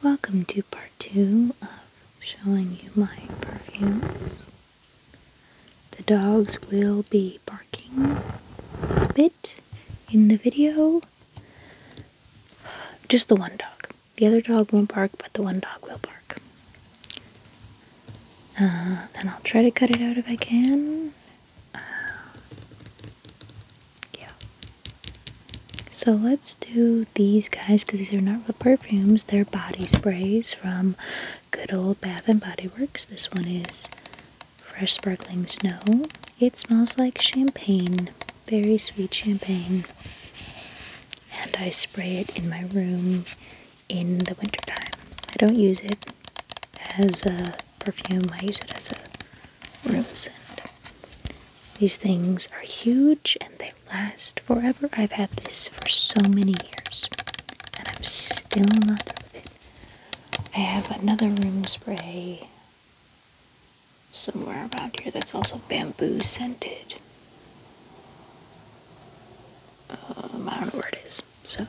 Welcome to part two of showing you my perfumes. The dogs will be barking a bit in the video. Just the one dog. The other dog won't bark, but the one dog will bark. And uh, I'll try to cut it out if I can. Yeah. So let's do these guys because these are not perfumes, they're body sprays from good old Bath and Body Works. This one is Fresh Sparkling Snow. It smells like champagne, very sweet champagne. And I spray it in my room in the wintertime. I don't use it as a perfume, I use it as a Rosen. These things are huge and they last forever. I've had this for so many years and I'm still not done with it. I have another room spray somewhere around here that's also bamboo scented. Um, I don't know where it is. So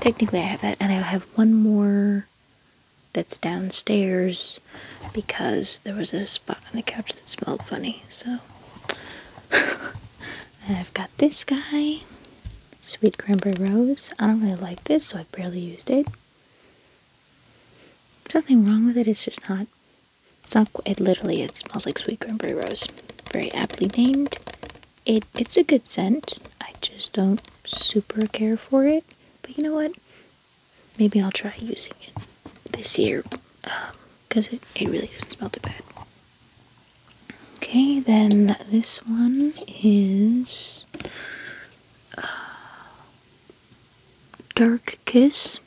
technically I have that and I have one more that's downstairs because there was a spot on the couch that smelled funny. So I've got this guy, Sweet Cranberry Rose. I don't really like this, so I have barely used it. There's nothing wrong with it, it's just not. It's not. It literally it smells like Sweet Cranberry Rose. Very aptly named. It it's a good scent. I just don't super care for it. But you know what? Maybe I'll try using it this year because um, it, it really doesn't smell too bad. Okay, then this one is uh, Dark Kiss.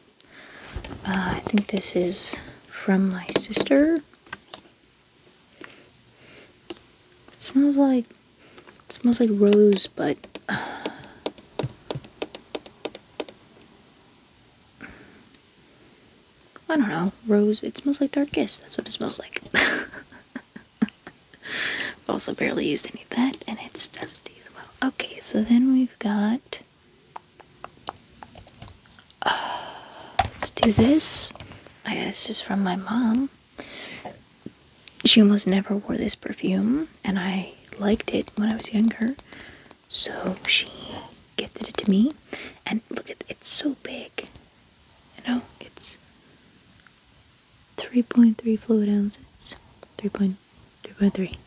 Uh, I think this is from my sister. It smells like it smells like rose, but. I don't know. Rose. It smells like dark kiss. That's what it smells like. also barely used any of that, and it's dusty as well. Okay, so then we've got. Uh, let's do this. I guess this is from my mom. She almost never wore this perfume, and I liked it when I was younger, so she gifted it to me. And look at it's so big, you know, it's 3.3 fluid ounces, 3.3.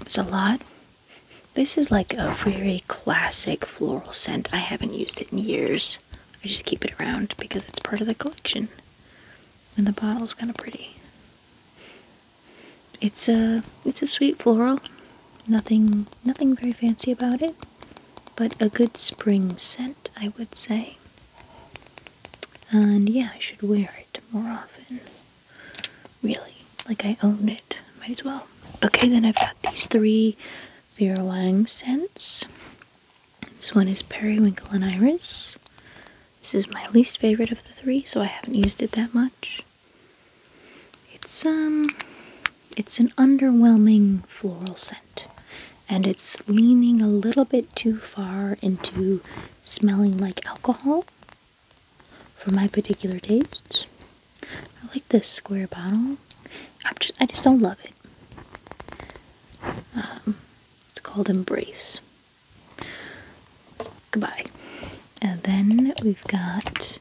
It's a lot. This is like a very classic floral scent. I haven't used it in years. I just keep it around because it's part of the collection and the bottle's kind of pretty. It's a it's a sweet floral, nothing nothing very fancy about it, but a good spring scent, I would say. And yeah, I should wear it more often. Really, like I own it, might as well. Okay, then I've got these three Vera Wang scents. This one is Periwinkle and Iris. This is my least favorite of the three, so I haven't used it that much. It's um it's an underwhelming floral scent. And it's leaning a little bit too far into smelling like alcohol for my particular tastes. I like this square bottle. i just, I just don't love it. Um, it's called Embrace. Goodbye. And then we've got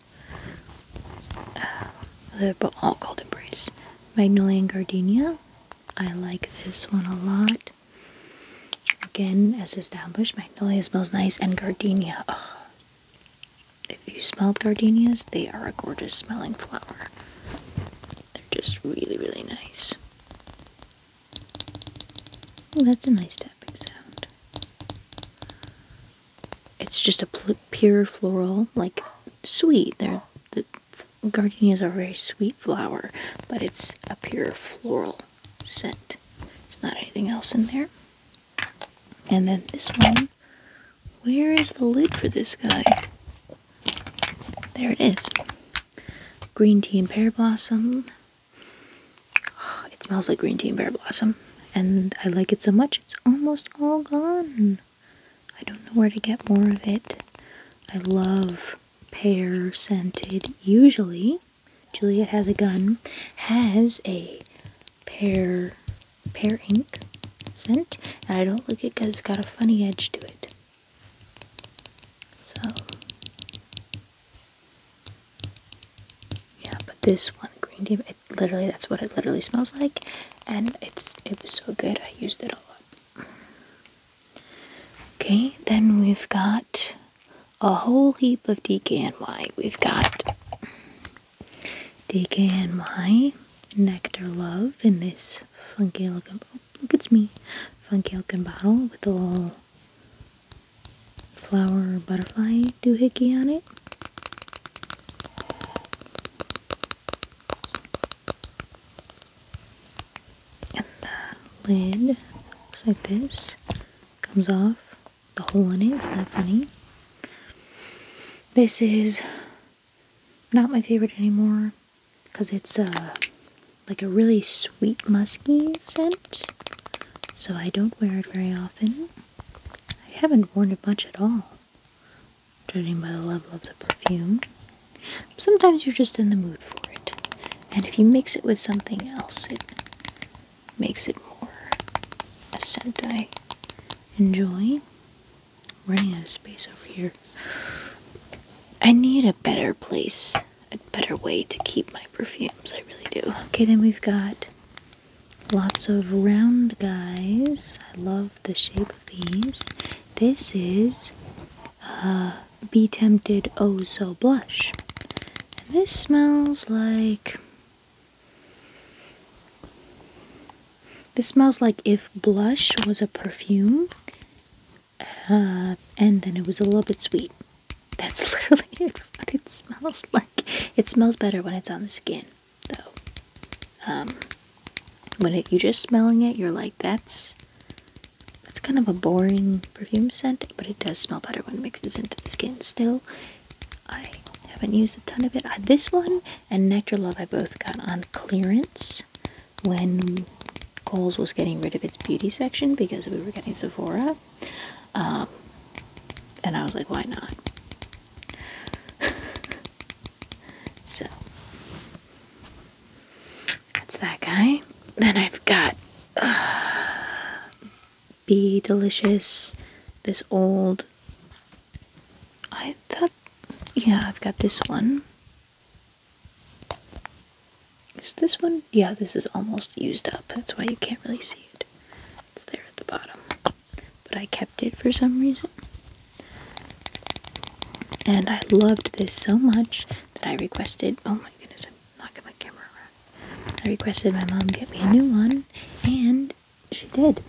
uh, they're all called Embrace. Magnolia and Gardenia. I like this one a lot. Again, as established, Magnolia smells nice and Gardenia. if you smell gardenias, they are a gorgeous smelling flower just really, really nice. Ooh, that's a nice tapping sound. It's just a pure floral, like sweet. They're, the gardenias are a very sweet flower, but it's a pure floral scent. It's not anything else in there. And then this one. Where is the lid for this guy? There it is. Green tea and pear blossom. it smells like green tea and pear blossom. And I like it so much, it's almost all gone. I don't know where to get more of it. I love pear scented. Usually, Juliet has a gun, has a pear, pear ink scent. And I don't like it it's got a funny edge to it. So yeah, but this one green tea, literally that's what it literally smells like, and it's it was so good I used it a lot. Okay, then we've got a whole heap of DKNY. We've got DKNY Nectar Love in this funky looking look it's me funky looking bottle with a little flower butterfly doohickey on it and the lid looks like this comes off the hole in it is that funny this is not my favorite anymore because it's uh, like a really sweet musky scent. So I don't wear it very often. I haven't worn it much at all, judging by the level of the perfume. Sometimes you're just in the mood for it. And if you mix it with something else, it makes it more a scent I enjoy running out of space over here. I need a better place, a better way to keep my perfumes. I really do. Okay, then we've got lots of round guys. I love the shape of these. This is uh, Be Tempted Oh So Blush. this smells like this smells like if blush was a perfume, uh, and then it was a little bit sweet. That's literally it, what it smells like. It smells better when it's on the skin, though. Um, when you're just smelling it, you're like, that's that's kind of a boring perfume scent, but it does smell better when it mixes into the skin. Still, I haven't used a ton of it. Uh, this one and Nectar Love I both got on clearance when Kohl's was getting rid of its beauty section because we were getting Sephora. Um, and I was like, why not? so, that's that guy. Then I've got uh, Be Delicious, this old. I thought, yeah, I've got this one. Is this one? Yeah, this is almost used up. That's why you can't really see it. It's there at the bottom. But I kept it for some reason. And I loved this so much that I requested, oh my goodness, I'm knocking my camera around. I requested my mom get me a new one, and she did.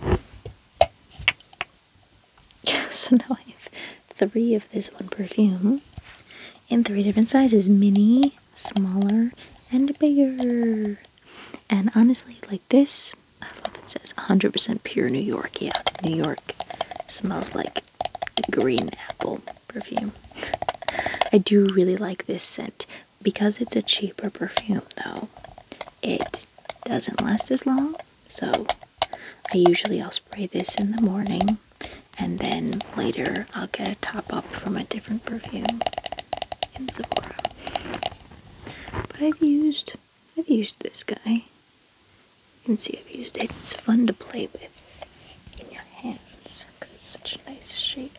so now I have three of this one perfume in three different sizes mini, smaller, and bigger. And honestly, like this, I love it says 100% pure New York. Yeah, New York smells like green apple perfume. I do really like this scent. Because it's a cheaper perfume, though, it doesn't last as long so I usually I'll spray this in the morning and then later I'll get a top up from a different perfume in Sephora. But I've used I've used this guy. You can see I've used it. It's fun to play with in your hands because it's such a nice shape.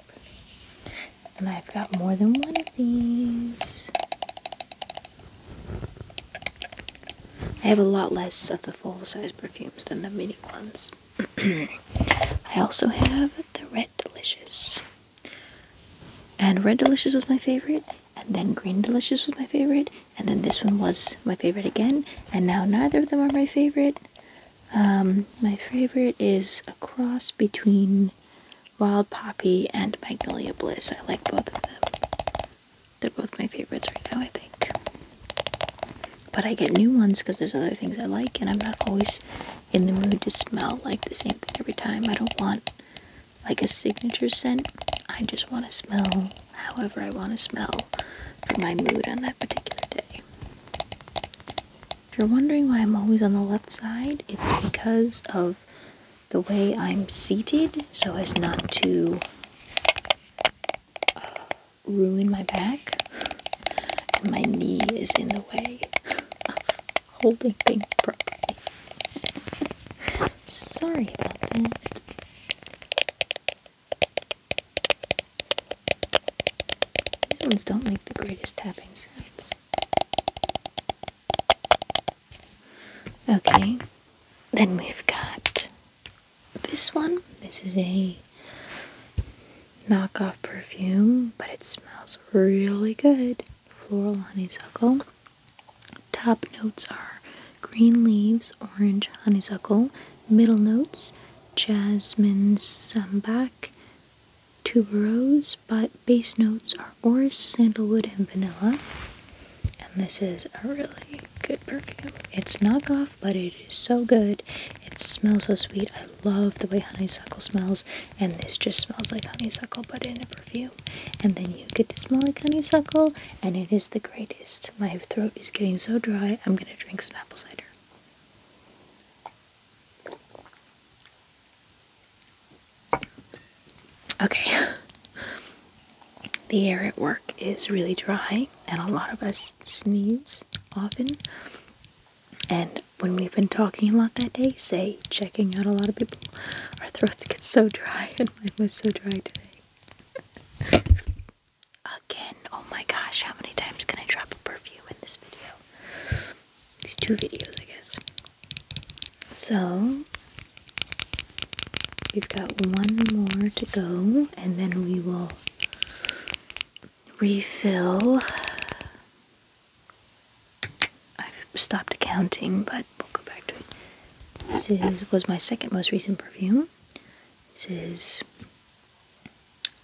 And I've got more than one of these. I have a lot less of the full size perfumes than the mini ones. I also have the Red Delicious. And Red Delicious was my favorite, and then Green Delicious was my favorite, and then this one was my favorite again, and now neither of them are my favorite. Um, my favorite is a cross between Wild Poppy and Magnolia Bliss. I like both of them. They're both my favorites right now, I think. But I get new ones because there's other things I like, and I'm not always in the mood to smell like the same thing every time. I don't want like a signature scent. I just want to smell however I want to smell for my mood on that particular day. If you're wondering why I'm always on the left side, it's because of the way I'm seated so as not to uh, ruin my back. And my knee is in the way of holding things properly. Sorry about that. These ones don't make the greatest tapping sounds. Okay, then we've got this one. This is a knockoff perfume, but it smells really good. Floral honeysuckle. Top notes are green leaves, orange honeysuckle. Middle notes, jasmine sambac, tuberose, but base notes are orris, sandalwood, and vanilla and this is a really good perfume. It's knockoff, but it is so good. It smells so sweet. I love the way honeysuckle smells, and this just smells like honeysuckle, but in a perfume. And then you get to smell like honeysuckle, and it is the greatest. My throat is getting so dry. I'm gonna drink some apple cider. Okay. The air at work is really dry, and a lot of us sneeze often. And when we've been talking a lot that day, say checking out a lot of people, our throats get so dry, and mine was so dry today. Again, oh my gosh, how many times can I drop a perfume in this video? These two videos, I guess. So, We've got one more to go, and then we will refill. I've stopped counting, but we'll go back to it. This is, was my second most recent perfume. This is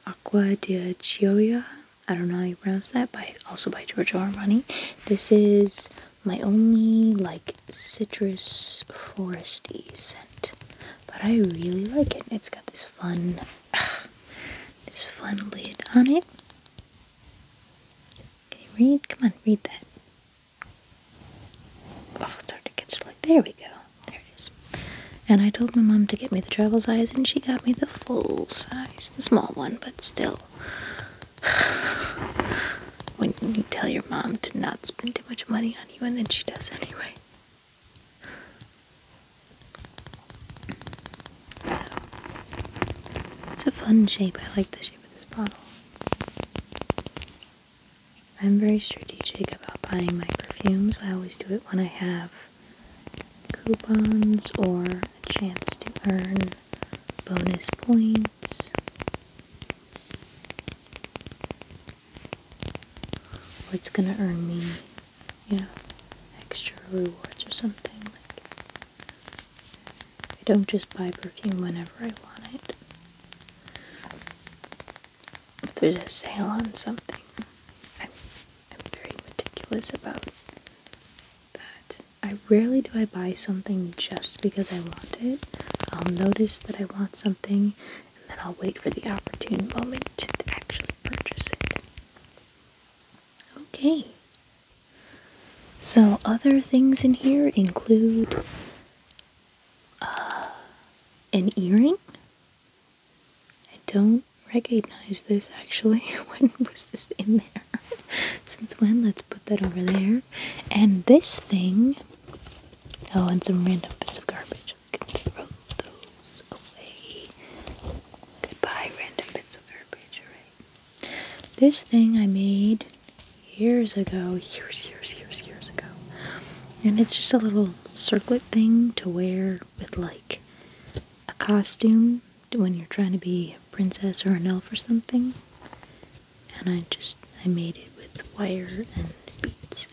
Aqua di Gioia. I don't know how you pronounce that, but also by Giorgio Armani. This is my only like citrus foresty scent. But I really like it. It's got this fun ah, this fun lid on it. Okay, read? Come on, read that. Oh, it's hard to catch like there we go. There it is. And I told my mom to get me the travel size and she got me the full size. The small one, but still. when you tell your mom to not spend too much money on you and then she does anyway. So, it's a fun shape. I like the shape of this bottle. I'm very strategic about buying my perfumes. I always do it when I have coupons or a chance to earn bonus points. It's gonna earn me, you know, extra rewards or something? Like, I don't just buy perfume whenever I want it. If there's a sale on something, I'm, I'm very meticulous about that. I rarely do I buy something just because I want it. I'll notice that I want something and then I'll wait for the opportune moment to actually purchase it. Okay. So, other things in here include uh, an earring. I don't recognize this actually. when was this in there? Since when? Let's put that over there. And this thing. Oh, and some random bits of garbage. We can throw those Goodbye, random bits of garbage. Alright. This thing I made years ago. Years, years, years, years ago. And it's just a little circlet thing to wear with like a costume when you're trying to be a princess or an elf or something and I just I made it with wire and beads.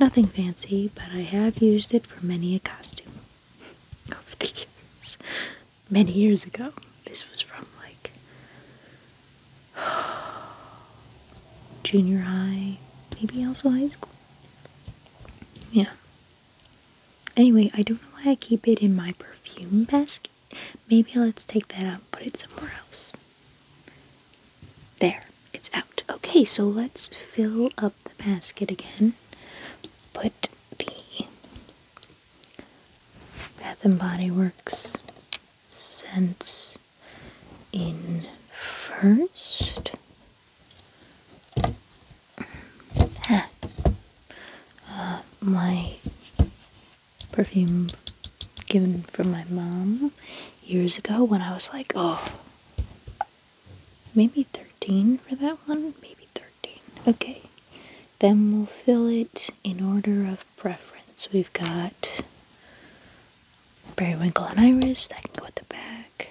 Nothing fancy, but I have used it for many a costume over the years. Many years ago. This was from like junior high, maybe also high school. Yeah. Anyway, I don't know why I keep it in my perfume basket maybe let's take that out put it somewhere else. There, it's out. Okay, so let's fill up the basket again. Put the Bath and Body Works scents in first. Uh, my perfume given from my mom years ago when I was like, oh, maybe 13 for that one? Maybe 13. Okay. Then we'll fill it in order of preference. We've got periwinkle and iris, that can go at the back.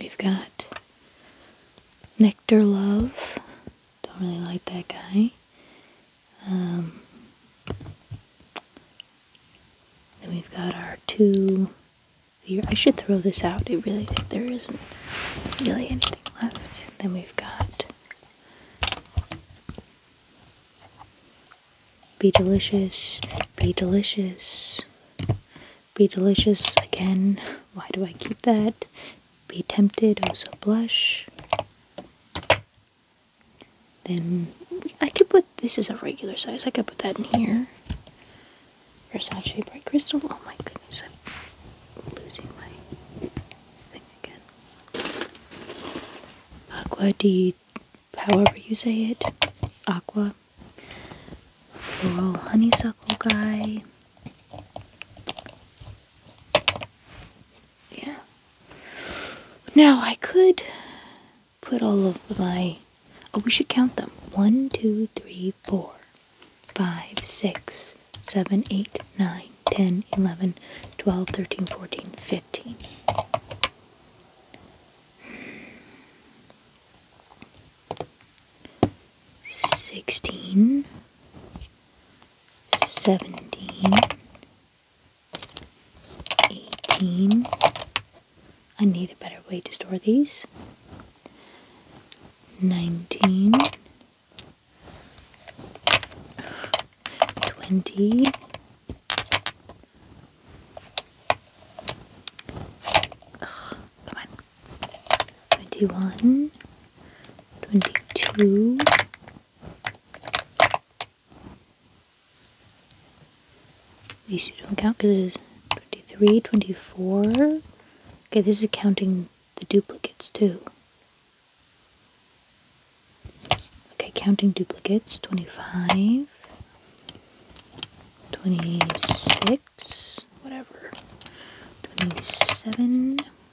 We've got nectar love, don't really like that guy. Um, then we've got our two. I should throw this out. I really think there isn't really anything left. Then we've got Be Delicious, Be Delicious, Be Delicious again. Why do I keep that? Be tempted, oh so blush. Then I could put this is a regular size. I could put that in here. Versace bright crystal. Oh my goodness, I'm losing my thing again. Aqua di, however you say it. Aqua. Floral honeysuckle guy. Yeah. Now I could put all of my. Oh, we should count them. One, two, three, four, five, six, seven, eight, nine, ten, eleven, twelve, thirteen, fourteen, fifteen, sixteen. 17, 18. I need a better way to store these. 19, 20, Come on. 21, 22, these two don't count because it is 23, 24. Okay, this is counting the duplicates too. Okay, counting duplicates 25, 26, whatever, 27.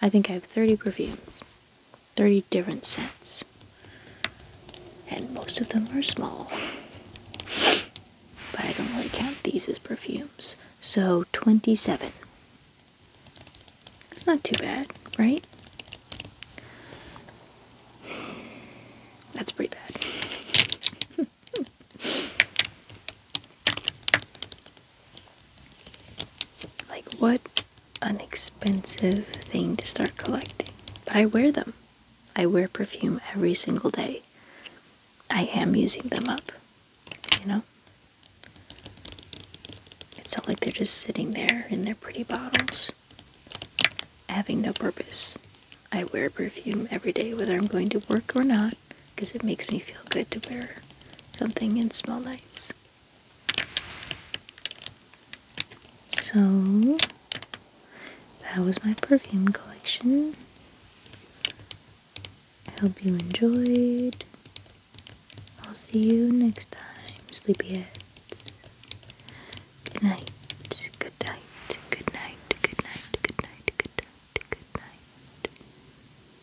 I think I have 30 perfumes, 30 different scents, and most of them are small. But I don't really count these as perfumes. So 27. It's not too bad, right? That's pretty bad. Like, what an expensive thing to start collecting. But I wear them. I wear perfume every single day. I am using them up, you know? It's not like they're just sitting there in their pretty bottles, having no purpose. I wear perfume every day, whether I'm going to work or not because it makes me feel good to wear something and smell nice. So that was my perfume collection. I hope you enjoyed. I'll see you next time, sleepyheads. Good night. Good night. Good night. Good night. Good night. Good night. Good night.